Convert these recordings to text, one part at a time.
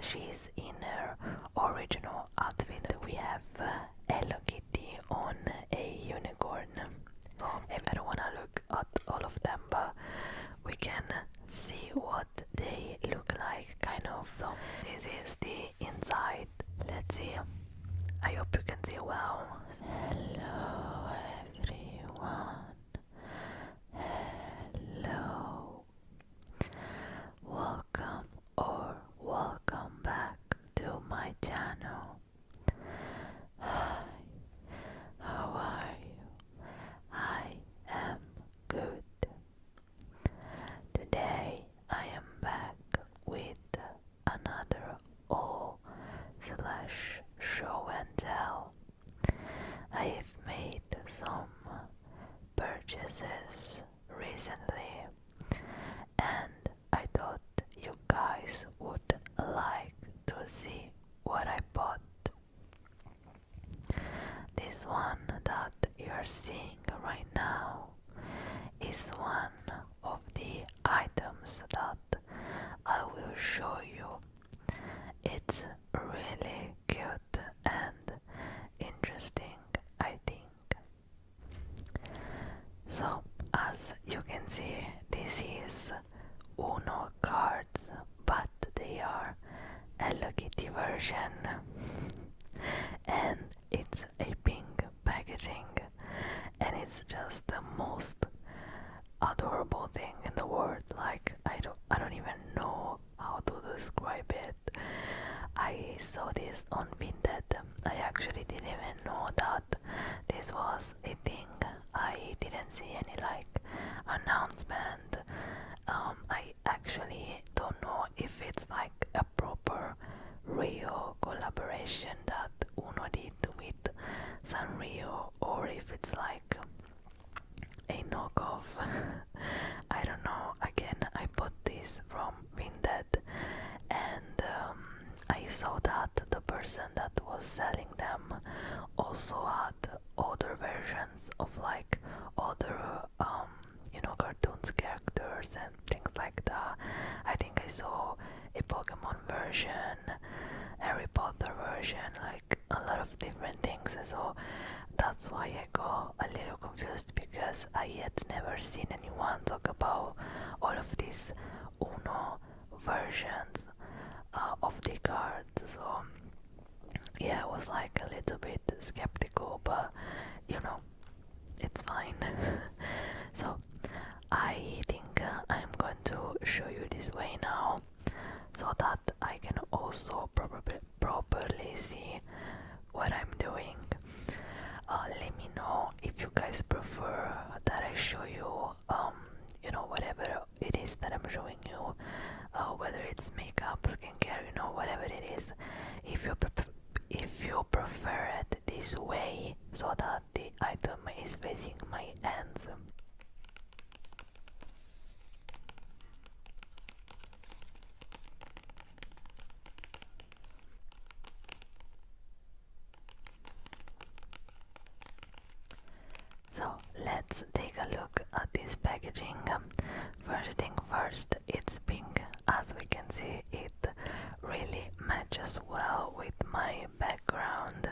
she's in her original outfit. We have uh, Hello Kitty on a unicorn. I don't wanna look at all of them, but we can see what they look like, kind of. So, this is the inside. Let's see. I hope you can see well. Hello, everyone. Hello, Welcome or welcome back to my channel. Hi, how are you? I am good. Today I am back with another all slash show and tell. I have made some purchases recently, and I thought you guys would like to see what I bought. This one that you're seeing right now is one of the items that I will show you. It's really cute and interesting, I think. So, as you can see, this is Uno cards, but they are a Lucky version, and it's a pink packaging, and it's just the most adorable thing in the world. Like I don't, I don't even know how to describe it. I saw this on Vinted. I actually didn't even know that this was a thing. I didn't see any like announcement. Um, I actually don't know if it's like a proper real collaboration that Uno did with Sanrio or if it's like a knockoff. I don't know. Again, I bought this from Vinted, and um, I saw that the person that was selling them also had other versions of like other, um, you know, cartoons characters and things like that. I think I saw a Pokemon version, Harry Potter version, like a lot of different things. So that's why I got a little confused because I had never seen anyone talk about all of these Uno versions uh, of the cards. So yeah, I was like a little bit skeptical, but you know, it's fine. so I think uh, I'm going to show you this way now, so that I can also probably properly see what I'm doing. Uh, let me know if you guys prefer that I show you, um, you know, whatever it is that I'm showing you, uh, whether it's makeup, skincare, you know, whatever it is. If you if you prefer it this way, so that the item is facing my hands. So let's take a look at this packaging. First thing first, it's pink. As we can see, it really matches well with my background.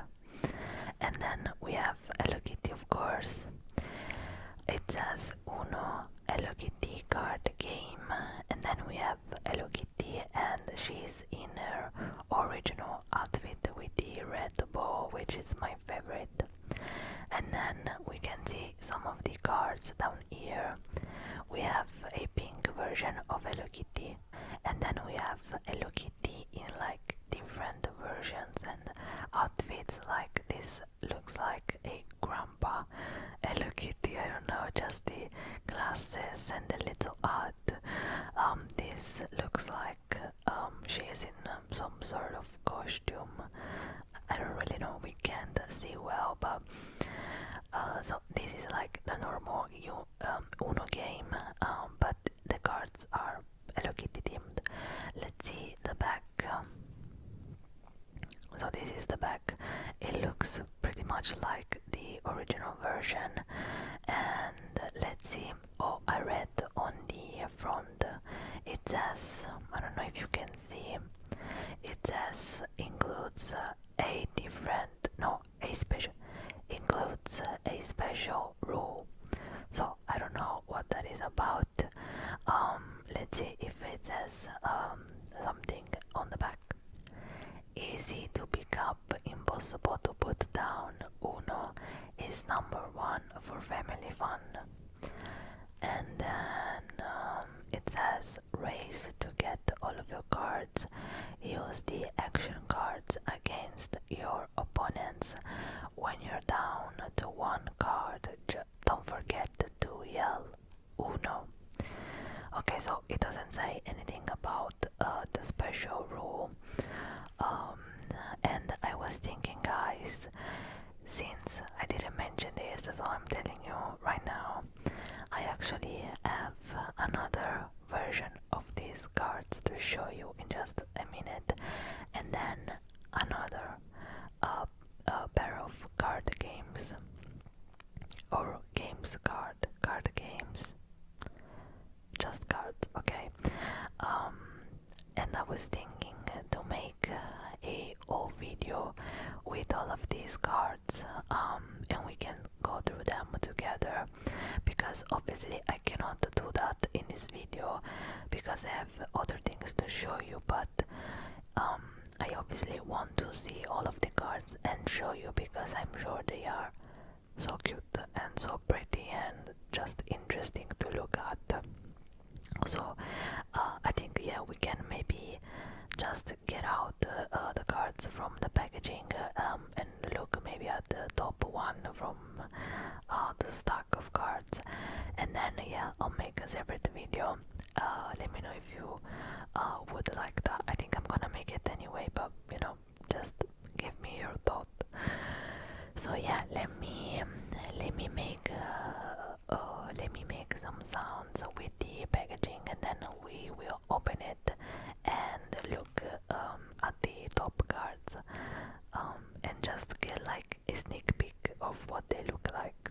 And then we have a Hello of course. It says Uno Hello Kitty card game, and then we have Hello Kitty, and she's in her original outfit with the red bow, which is my favorite. And then we can see some of the cards down here. We have a pink version of Hello Kitty, and then we have Hello Kitty in like different versions and outfits, like this looks like a grandpa. Hello Kitty, I don't know, just the glasses and the little hat. Um, this looks like um, she is in um, some sort of costume. I don't really know, we can't see well, but uh, so this is like the normal you um, Uno game, um, but the cards are Hello Kitty themed. Let's see the back. Um, so this is the back it looks pretty much like the original version and let's see oh i read on the front it says i don't know if you can see it says includes a different no a special includes a special rule so i don't know what that is about um, let's see if it says um, something on the back easy to pick up impossible to put down uno is number one for family fun and then um, it says race to get all of your cards use the action cards against your opponents when you're down to one card, don't forget to yell uno. Okay, so it doesn't say anything about uh, the special rule. Um, and I was thinking, guys, since I didn't mention this, so I'm telling you right now, I actually have another version of these cards to show you in just a minute, and then another. Uh, a, pair of card games or games card card games just card, okay um and i was thinking to make a whole video with all of these cards um and we can go through them together because obviously i cannot do that in this video because i have other things to show you but um, I obviously want to see all of the cards and show you because I'm sure they are so cute and so pretty and just interesting to look at. So uh, I think yeah we can maybe just get out uh, the cards from the packaging um, and look maybe at the top one from uh, the stack of cards and then yeah I'll make a separate video uh, let me know if you uh, would like that. I think I'm gonna make it anyway, but you know, just give me your thought. So yeah, let me let me make uh, uh, let me make some sounds with the packaging, and then we will open it and look um, at the top cards um, and just get like a sneak peek of what they look like.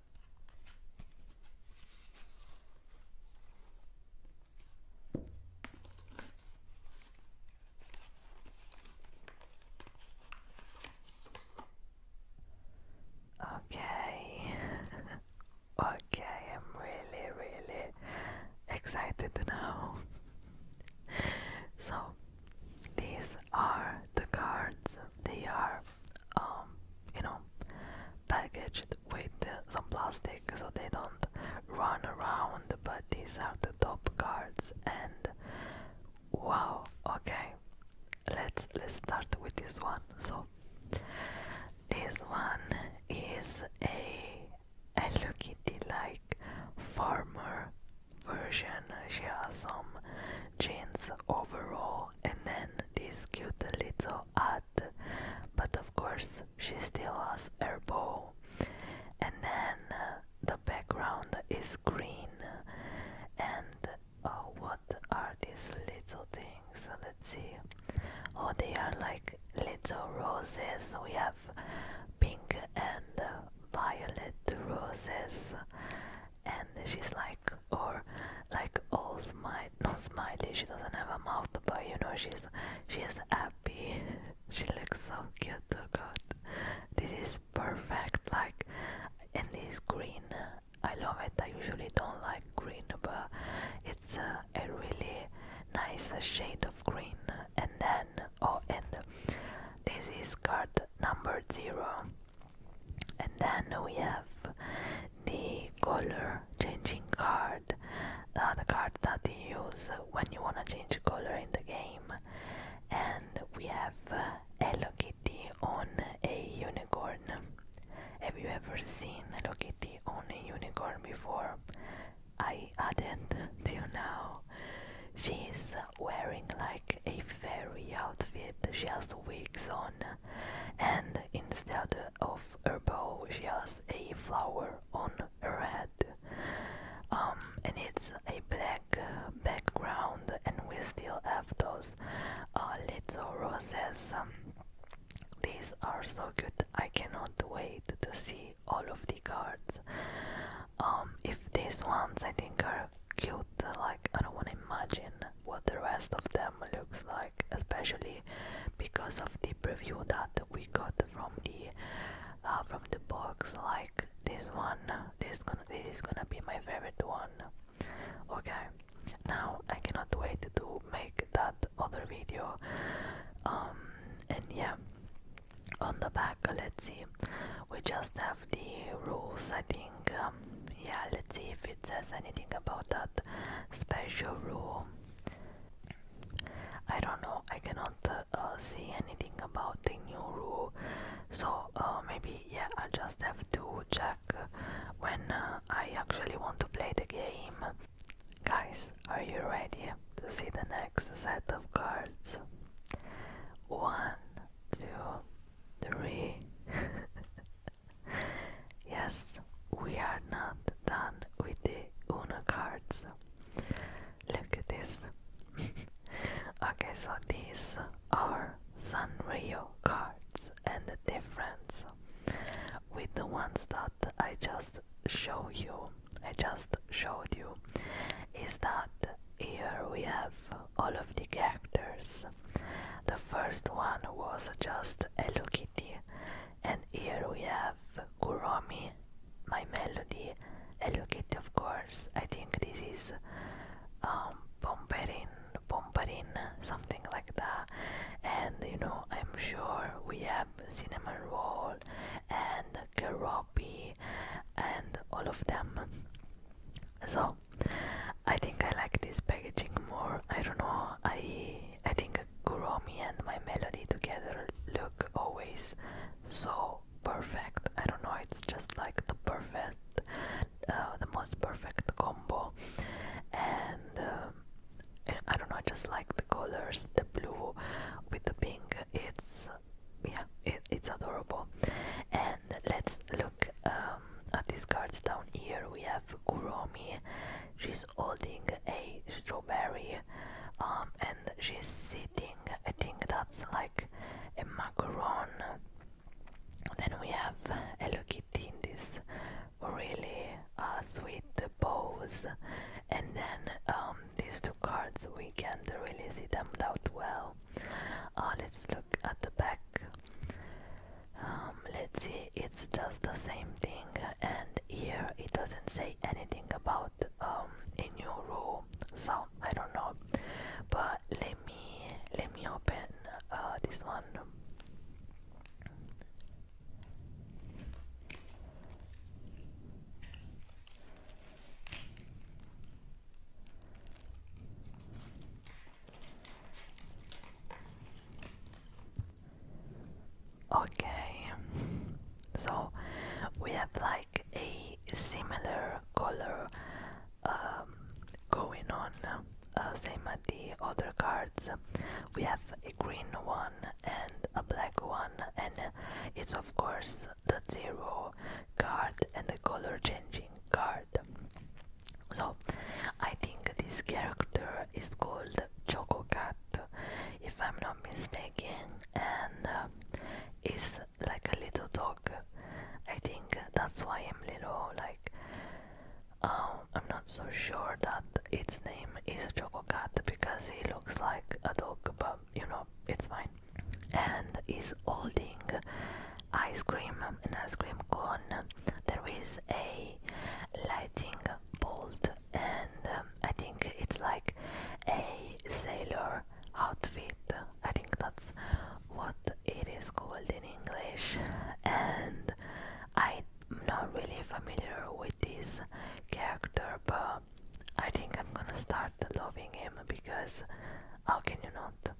Okay, okay, I'm really, really excited now. so, these are the cards. They are, um, you know, packaged with some plastic so they don't run around. But these are the top cards, and wow, okay, let's let's start with this one. So this one is a Hello Kitty-like former version. She has some jeans overall and then this cute little hat. But of course, she still has her bow. And then uh, the background is green. And oh, what are these little things? Let's see. Oh, they are like little roses. We have pink and violet roses and she's like or like all smile not smiley she doesn't have a mouth but you know she's she's happy she looks so cute oh god this is perfect like and this green i love it i usually don't like green but it's a really nice shade of green and then oh and this is card number zero and then we have the color changing card uh, the card that you use when you want to change color in the game and we have uh, Hello Kitty on a unicorn have you ever seen Hello Kitty on a unicorn before? I have not till now she's wearing like a fairy outfit she has wigs on and instead of a bow she has a flower on red, um, and it's a black uh, background and we still have those uh, little roses um, these are so good I cannot wait to see all of the cards um, if these ones I think are cute. Like I don't want to imagine what the rest of them looks like, especially because of the preview that we got from the uh, from the box. Like this one, this gonna this is gonna be my favorite one. Okay, now I cannot wait to make that other video. Um, and yeah, on the back, let's see, we just have the rules, I think. Um, yeah, let's see if it says anything about that special rule. I don't know, I cannot uh, uh see anything about the new rule, so uh, maybe, yeah, I just have to check when uh, I actually want to play the game. Guys, are you ready to see the next set of cards? One, two, three. yes, we are not done with the Uno cards. Look at this. okay, so these are Sanrio cards, and the difference with the ones that I just showed you, I just showed you, is that here we have all of the characters. The first one was just Hello Kitty, and here we have Kuromi, My Melody, Hello Kitty, of course. I think this is um, Pomperin, Pomperin, something like that. And you know, I'm sure we have Cinnamon Roll and Keropi and all of them. So I think I like this packaging more. I don't know. I I think Kuromi and my melody together look always so perfect. I don't know. It's just like the perfect, uh, the most perfect combo. And um, I don't know. just like the colors, the blue with the pink. It's yeah, it, it's adorable. And let's look um, at these cards down here, we have Kuromi. She's holding a strawberry, um, and she's sitting. I think that's like a macaron. Then we have Hello Kitty in this really uh, sweet pose, and then um, these two cards we can't really see them that well. Uh, let's look at the back um, let's see it's just the same thing and here it doesn't say anything about a new rule so I don't know but let me let me open uh, this one Okay, so we have like a similar color um, going on, uh, same as the other cards. We have a green one and a black one, and it's of course the zero card and the color changing card. So, I think this character is called Choco Cat, if I'm not mistaken, and uh, is like a little dog. I think that's why I'm little like. Um, I'm not so sure that its name is Choco Cat because he looks like a dog, but you know it's fine. And is holding ice cream an ice cream cone there is a lighting bolt and um, I think it's like a sailor outfit I think that's what it is called in English and I'm not really familiar with this character but I think I'm gonna start loving him because how can you not?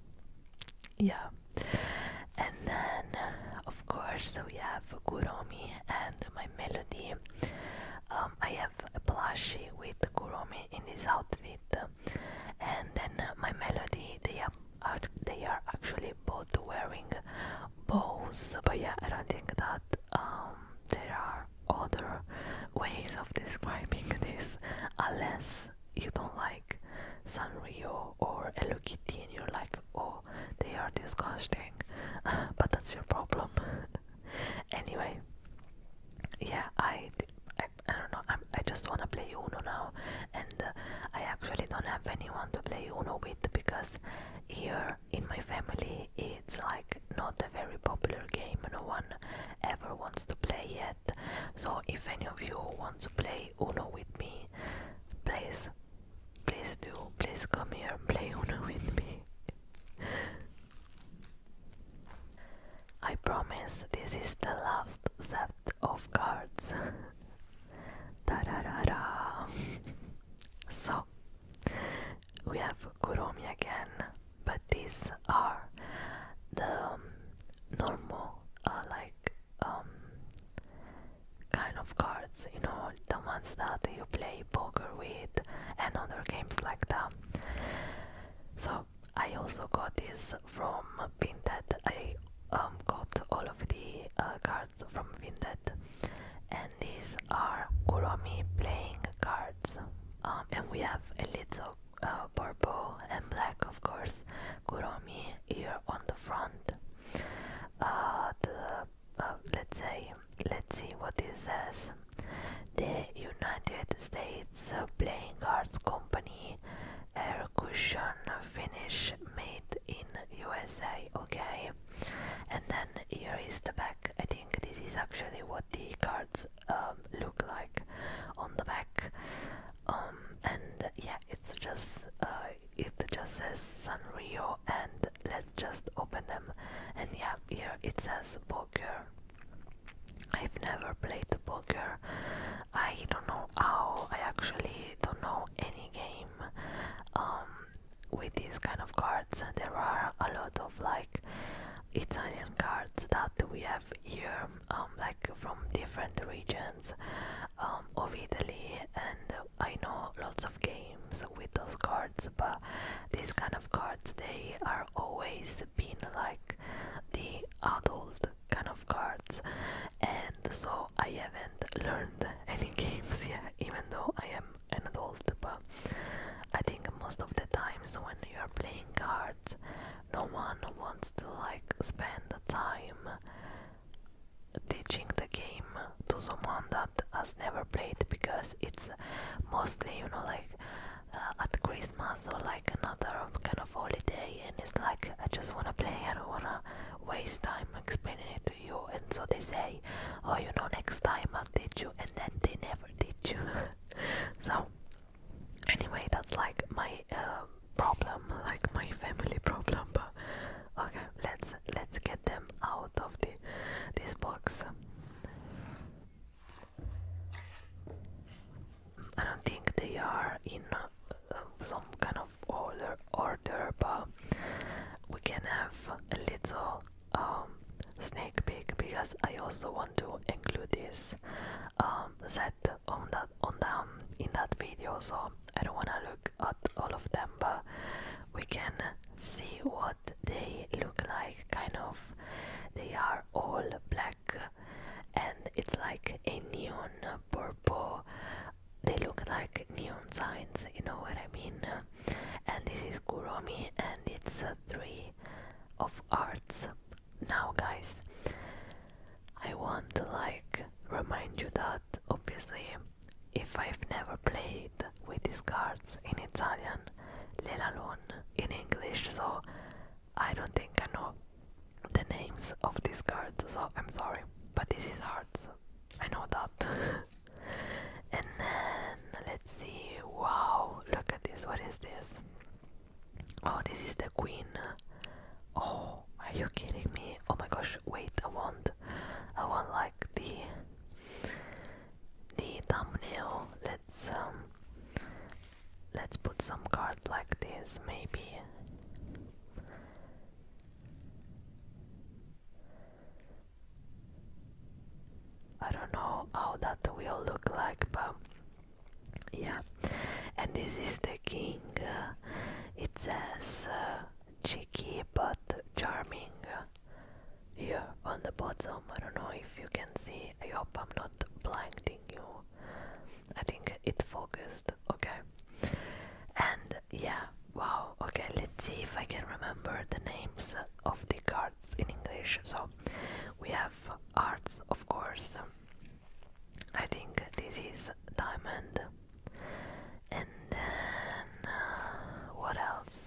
Yeah, and then of course so we have Kurumi and my melody um, I have a plushie with Kurumi in this outfit and then my melody they are, they are actually both wearing bows but yeah I don't think that um, there are other ways of describing this unless you don't like Sanrio or Hello Kitty and you're like, oh, they are disgusting, but that's your problem. anyway, yeah, I, I, don't know, i I just wanna play Uno now, and uh, I actually don't have anyone to play Uno with because here in my family it's like not a very popular game, no one ever wants to play it. So if any of you want to play Uno with me, please, please do, please come here and play Uno with me. I promise this is the last set of cards. da da da da. So we have Kuromi again, but these are the normal, uh, like um, kind of cards, you know, the ones that you play poker with and other games like that. So I also got this from Vinted. I um, got all of the uh, cards from Vinted, and these are Kuromi playing cards. Um, and we have a little uh, purple and black, of course. Kuromi here on the front. Uh, the uh, let's say, let's see what it says. The United States Playing Cards Company air cushion finish made in USA. Okay, and then here is the back. I think this is actually what the cards um, look like on the back um, and yeah, it's just uh, it just says Sanrio, and let's just open them. And yeah, here it says poker. I've never played poker. I don't know how. I actually don't know any game um, with these kind of cards. There are a lot of like Italian cards that we have have here um, like from different regions um, of Italy and I know lots of games with those cards but these kind of cards they are always been like the adult kind of cards and so I haven't learned any games yet even though I am an adult but I think most of the times when you are playing cards no one wants to like spend the time teaching the game to someone that has never played because it's mostly you know like uh, at Christmas or like another kind of holiday and it's like I just wanna play I don't wanna waste time explaining it to you and so they say oh you know next time I'll teach you and then they never teach you so anyway that's like my uh, problem like my family problem but okay let's let's get them out of the this box I don't think they are in uh, some kind of order order but we can have a little um snake peek because I also want to include this um, on that on them in that video so I don't wanna look at all of them but we can see what they look like kind of they are all black and it's like a neon purple they look like neon signs you know what I mean and this is Kuromi and it's uh, three of arts now, guys, I want to like remind you that obviously, if I've never played with these cards in Italian, let alone in English, so I don't think I know the names of these cards, so I'm sorry, but this is cards. I know that. and then let's see. Wow, look at this. What is this? Oh, this is the queen. Oh, are you kidding me? Oh my gosh, wait, I want I want like the the thumbnail. Let's um let's put some card like this maybe. I don't know how that will look like, but yeah and this is the king uh, it says uh, cheeky but charming uh, here on the bottom i don't know if you can see i hope i'm not blinding you i think it focused okay and yeah wow okay let's see if i can remember the names of the cards in english so we have arts of course I think this is diamond. And then uh, what else?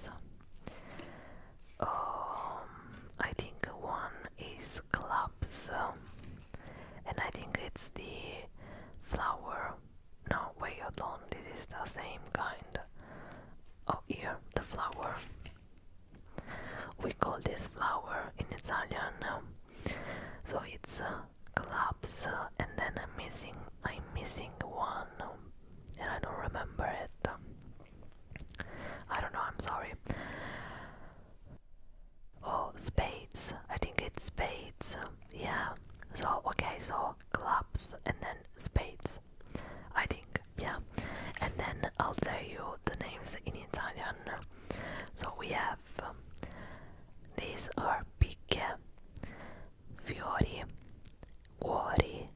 Um, I think one is clubs, um, and I think it's the flower. No, wait, hold on. This is the same kind. Oh, here the flower. We call this flower in Italian. Um, so it's uh, Clubs, and then I'm missing I'm missing one and I don't remember it. I don't know, I'm sorry. Oh, spades. I think it's spades. Yeah. So, okay, so clubs and then spades. I think, yeah. And then I'll tell you the names in Italian. So we have these are big, fiori, cuori,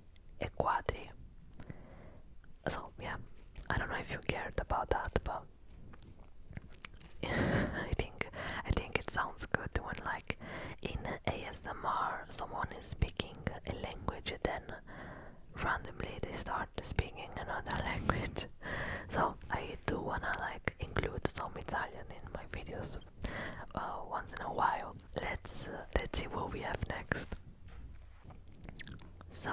e quadri. So, yeah, I don't know if you cared about that, but I think I think it sounds good when, like, in ASMR, someone is speaking a language, then randomly they start speaking another language. so I do wanna like include some Italian in my videos uh, once in a while. Let's uh, let's see what we have next. So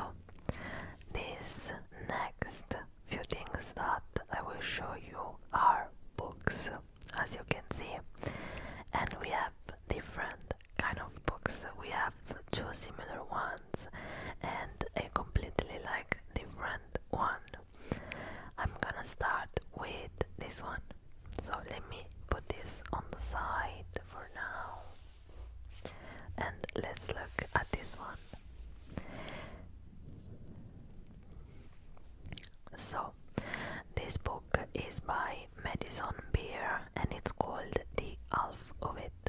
this next few things that I will show you are books, as you can see, and we have different kind of books. We have two similar ones and a completely like different one. I'm gonna start with this one. So let me put this on the side for now. And let's look at this one. So, this book is by Madison Beer and it's called The Half of It.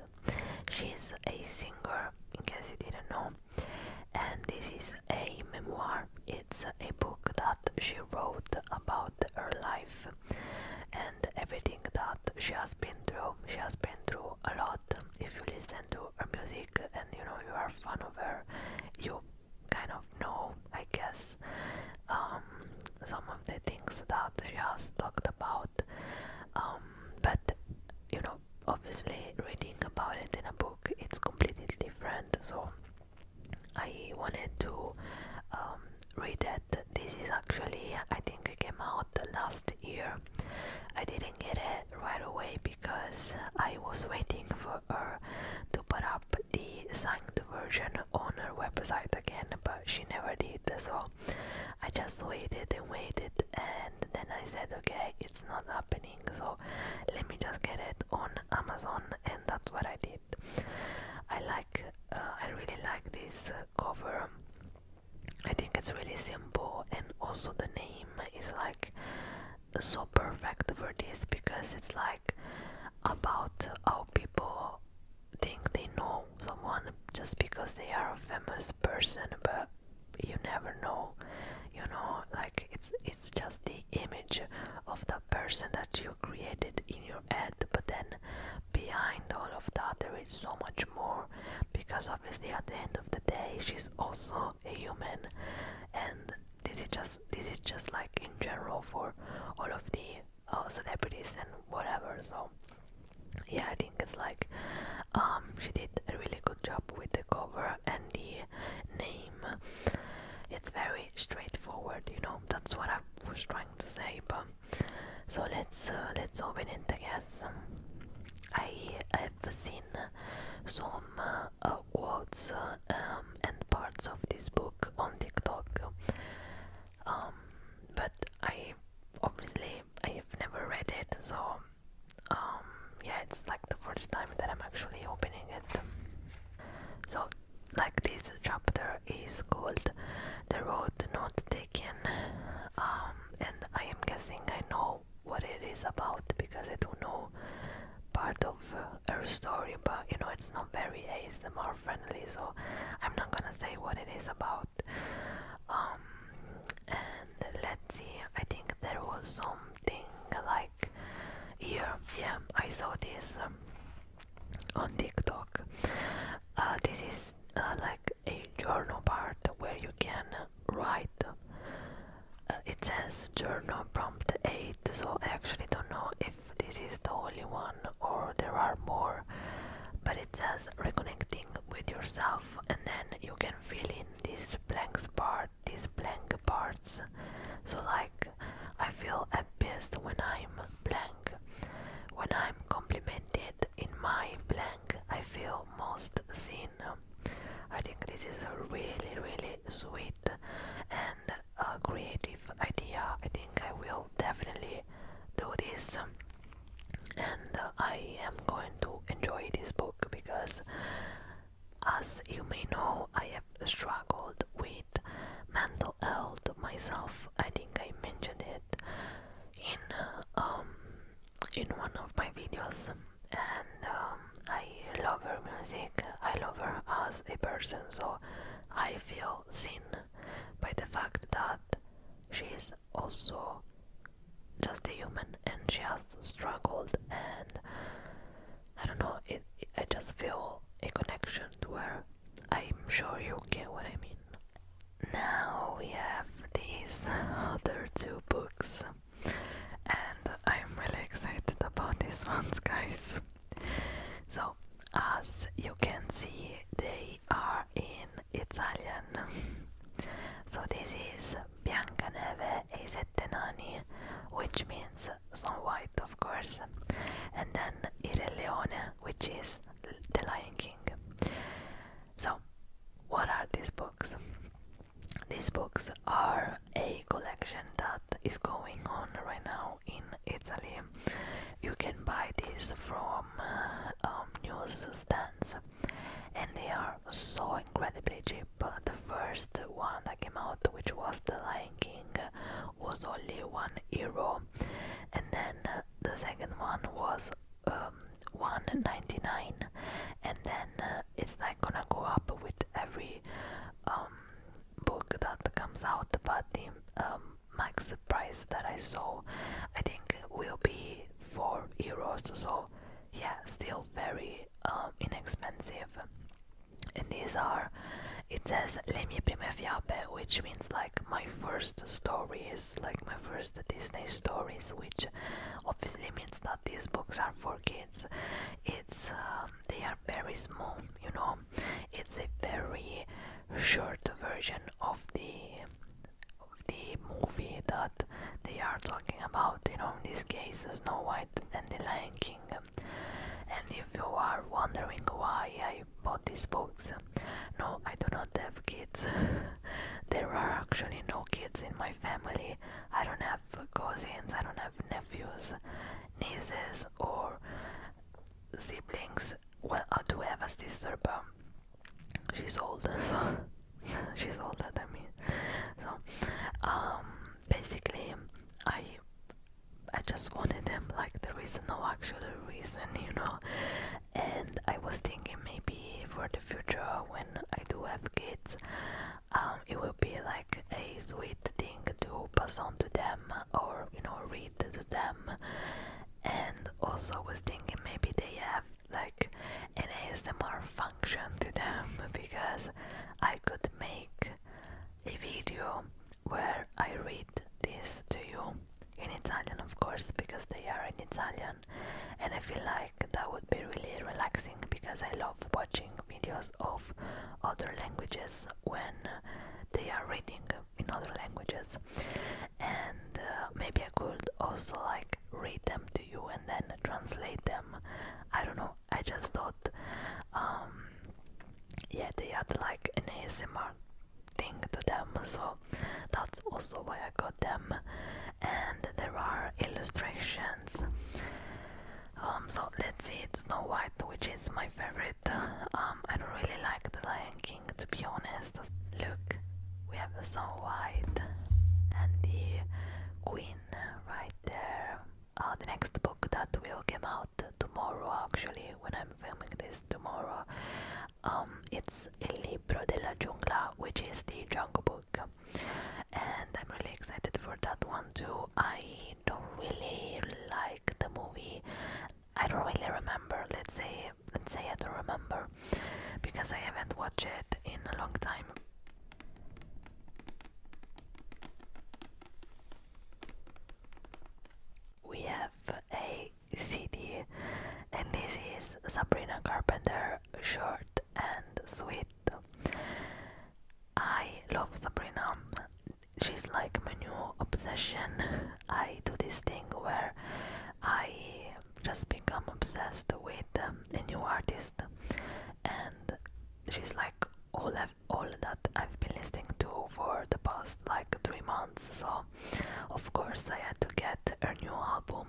She's a singer, in case you didn't know, and this is a memoir. It's a book that she wrote about her life and everything that she has been through. She has been through a lot. If you listen to her music and you know you are a fan of her, you kind of know, I guess, um, some of the things that she has talked about. Um, but you know, obviously reading about it in a book it's completely different so I wanted to um, read it this is actually I think came out last year I didn't get it right away because I was waiting for her to put up the signed version on her website again but she never did so I just waited and waited and then I said okay it's not happening so let me just get it on amazon and that's what i did i like uh, i really like this uh, cover i think it's really simple and also the name is like so perfect for this because it's like about how people think they know someone just because they are famous person but you never know you know like it's it's just the image of the person that you created in your head but then behind all of that there is so much more because obviously at the end of the day she's also a human and this is just this is just like in general for all of the uh, celebrities and whatever so yeah i think it's like um, she did a really good job with the cover and the name it's very straightforward you know that's what i was trying to say but so let's uh, let's open it i guess i have seen some uh, quotes uh, um, and parts of this book on tiktok um, but i obviously i have never read it so um yeah it's like the first time that i'm actually opening it so like this chapter is called the road not taken um and i am guessing i know what it is about because i do know part of a story but you know it's not very asmr friendly so i'm not gonna say what it is about um and let's see i think there was something like here yeah i saw this um, on tiktok uh, this is uh, like a journal part where you can write uh, it says journal prompt 8 so i actually don't know if this is the only one or there are more but it says reconnecting with yourself and then you can fill in in these blank spot, these blank parts. So like I feel at best when I'm blank. When I'm complimented in my blank, I feel most seen. I think this is a really really sweet and uh, creative idea. I think I will definitely do this and uh, I am going to enjoy this book because, as you may know, I have struggled with mental health myself. I think I mentioned it in um in one of my videos, and um, I love her music. I love her as a person, so I feel seen by the fact that she is also just a human and she has struggled and I don't know it, I just feel a connection to her I'm sure you get what I mean now we have these other two books and I'm really excited about these ones guys so as you can see they are in Italian so this is Biancaneve Eisettenani, which means Snow White, of course, and then Il Leone, which is The Lion King. So, what are these books? These books are a collection that is going on right now in Italy. You can buy these from uh, um, newsstands and they are so incredibly cheap. The first one that came out, which was The Lion King, was only one euro, and then uh, the second one was um, 1.99, and then uh, it's like gonna go up with every um, book that comes out. But the um, max price that I saw, I think, will be four euros. So yeah still very um, inexpensive and these are it says le mie prime fiabe which means like my first stories like my first disney stories which obviously means that these books are for kids it's um, they are very small you know it's a very short version of the of the movie that they are talking about, you know, in this case Snow White and the Lion King. And if you are wondering why I bought these books, no, I do not have kids. there are actually no kids in my family. I don't have cousins, I don't have nephews, nieces, or siblings. Well, I do have a sister, but she's older she's older than me so um, basically i i just wanted them like there is no actual reason you know and i was thinking maybe for the future when i do have kids um, it will be like a sweet thing to pass on to them or you know read to them and also was thinking maybe they have like an ASMR function to them because I could make a video where I read this to you in Italian, of course, because they are in Italian, and I feel like that would be really relaxing because I love watching videos of other languages when they are reading in other languages, and uh, maybe I could also like read them to you and then translate them. I don't know. I just thought, um, yeah, they had like an ASMR thing to them, so that's also why I got them. And there are illustrations. Um, so let's see Snow White, which is my favorite. Um, I don't really like The Lion King to be honest. Look, we have a Snow White and the Queen right there. Uh, the next book that will come out tomorrow, actually, when I'm filming this tomorrow, um, it's El Libro de la Jungla, which is the Jungle Book, and I'm really excited for that one too. I don't really like the movie. I don't really remember. Let's say, let's say I don't remember because I haven't watched it in a long time. We have a CD, and this is Sabrina Carpenter, short and sweet. I love Sabrina. She's like my new obsession. I do this thing where I just become obsessed with a new artist and she's like all of all that I've been listening to for the past like three months so of course I had to get her new album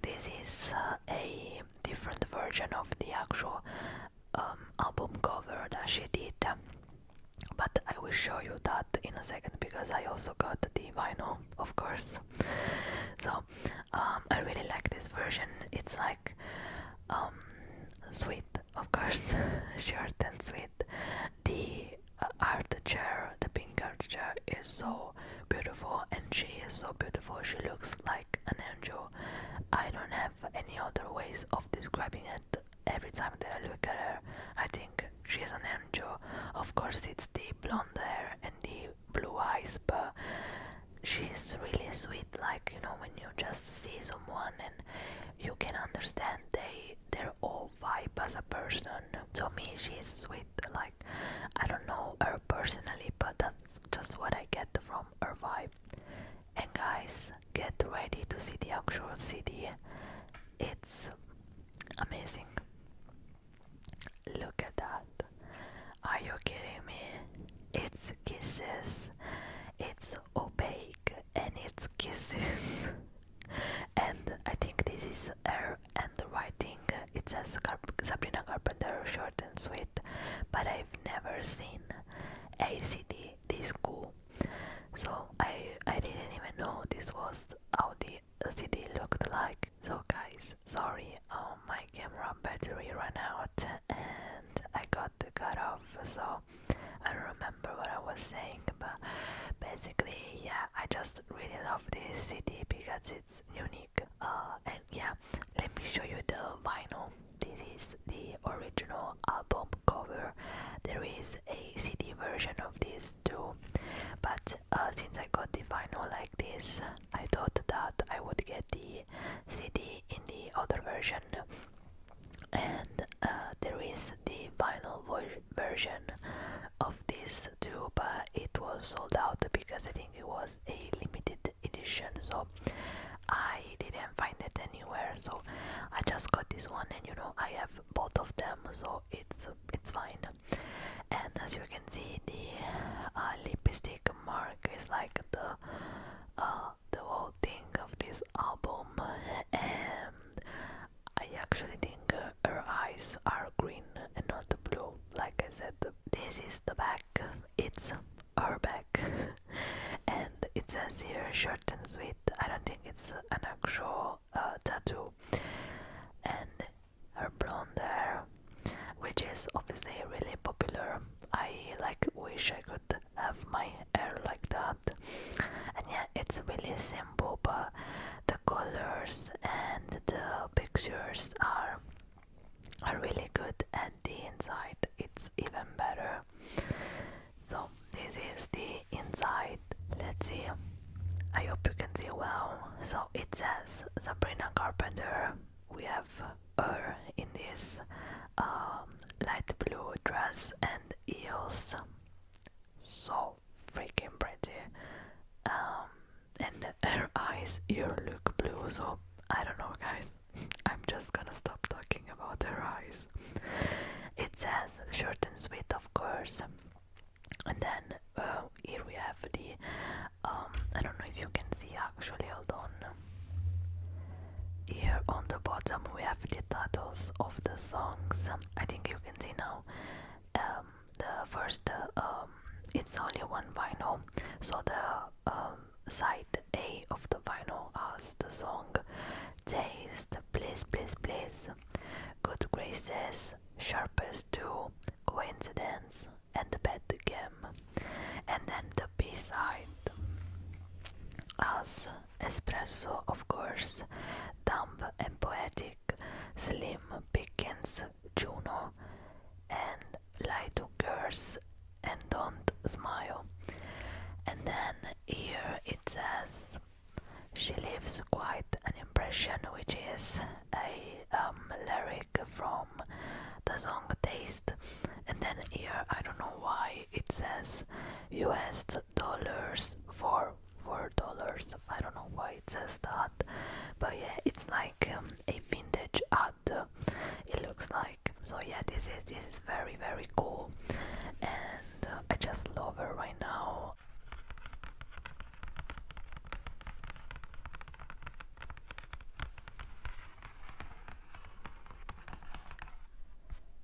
this is uh, a different version of the actual um, album cover that she did but I will show you that in a second because I also got the vinyl of course so um, I really like this version. It's like um, sweet, of course, short and sweet. The uh, art chair, the pink art chair, is so beautiful, and she is so beautiful. She looks like an angel. I don't have any other ways of describing it. Every time that I look at her, I think she's an angel. Of course, it's the blonde hair and the blue eyes, but she's really sweet. Like you know, when you just see someone and you can understand they they're all vibe as a person. To me, she's sweet. Like I don't know her personally, but that's just what I get from her vibe. And guys, get ready to see the actual CD. It's amazing. Look at that. Are you kidding me? It's kisses. It's opaque and it's kisses. and I think this is air and the writing. It says Sabrina Carpenter, short and sweet. But I've never seen ACD this cool. So I I didn't even know this was how the CD looked like. So guys, sorry, oh my camera battery ran out and I got cut off, so I don't remember what I was saying, but basically, yeah, I just really love this CD because it's unique. Uh, and yeah, let me show you the vinyl. This is the original album cover. There is a CD version of this too, but uh, since I got the vinyl like this, I thought that I would get the CD in the other version, and uh, there is the vinyl version of this too, but it was sold out because I think it was a limited edition, so I didn't find it anywhere. So I just got this one, and you know I have both of them, so it's it's fine and as you can see the uh, lipstick mark is like the uh, the whole thing of this album and I actually think her eyes are green and not blue like I said this is the back it's her back and it says here short and sweet I don't think it's an actual uh, tattoo and her blonde hair, which is obviously really popular. I like wish I could have my hair like that. And yeah, it's really simple, but the colors and the pictures are are really good, and the inside it's even better. So this is the inside. Let's see. I hope you can see well. So it says Sabrina Carpenter we have her in this um, light blue dress and heels. So freaking pretty. Um, and her eyes here look blue, so I don't know, guys. I'm just gonna stop talking about her eyes. It says short and sweet, of course. And then uh, here we have the um, I don't know if you can see actually, hold on. Here on the bottom we have the titles of the songs. I think you can see now. Um, the first, um, it's only one vinyl, so the side A of the vinyl has the song Taste, Please, Please, Please, Good Graces, Sharpest Two, Coincidence, and the bed game and then the b-side as espresso of course dumb and poetic slim begins juno and lie to girls and don't smile and then here it says she leaves quite an impression which is a um, Larry from the song Taste, and then here I don't know why it says US dollars for four dollars. I don't know why it says that, but yeah, it's like um, a vintage ad. It looks like so. Yeah, this is this is very very cool, and uh, I just love her right now.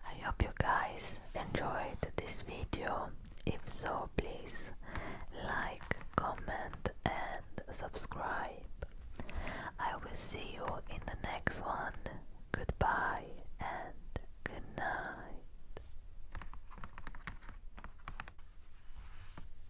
I hope you guys enjoyed this video. If so, please like, comment, and subscribe. I will see you in the next one. Goodbye and good night.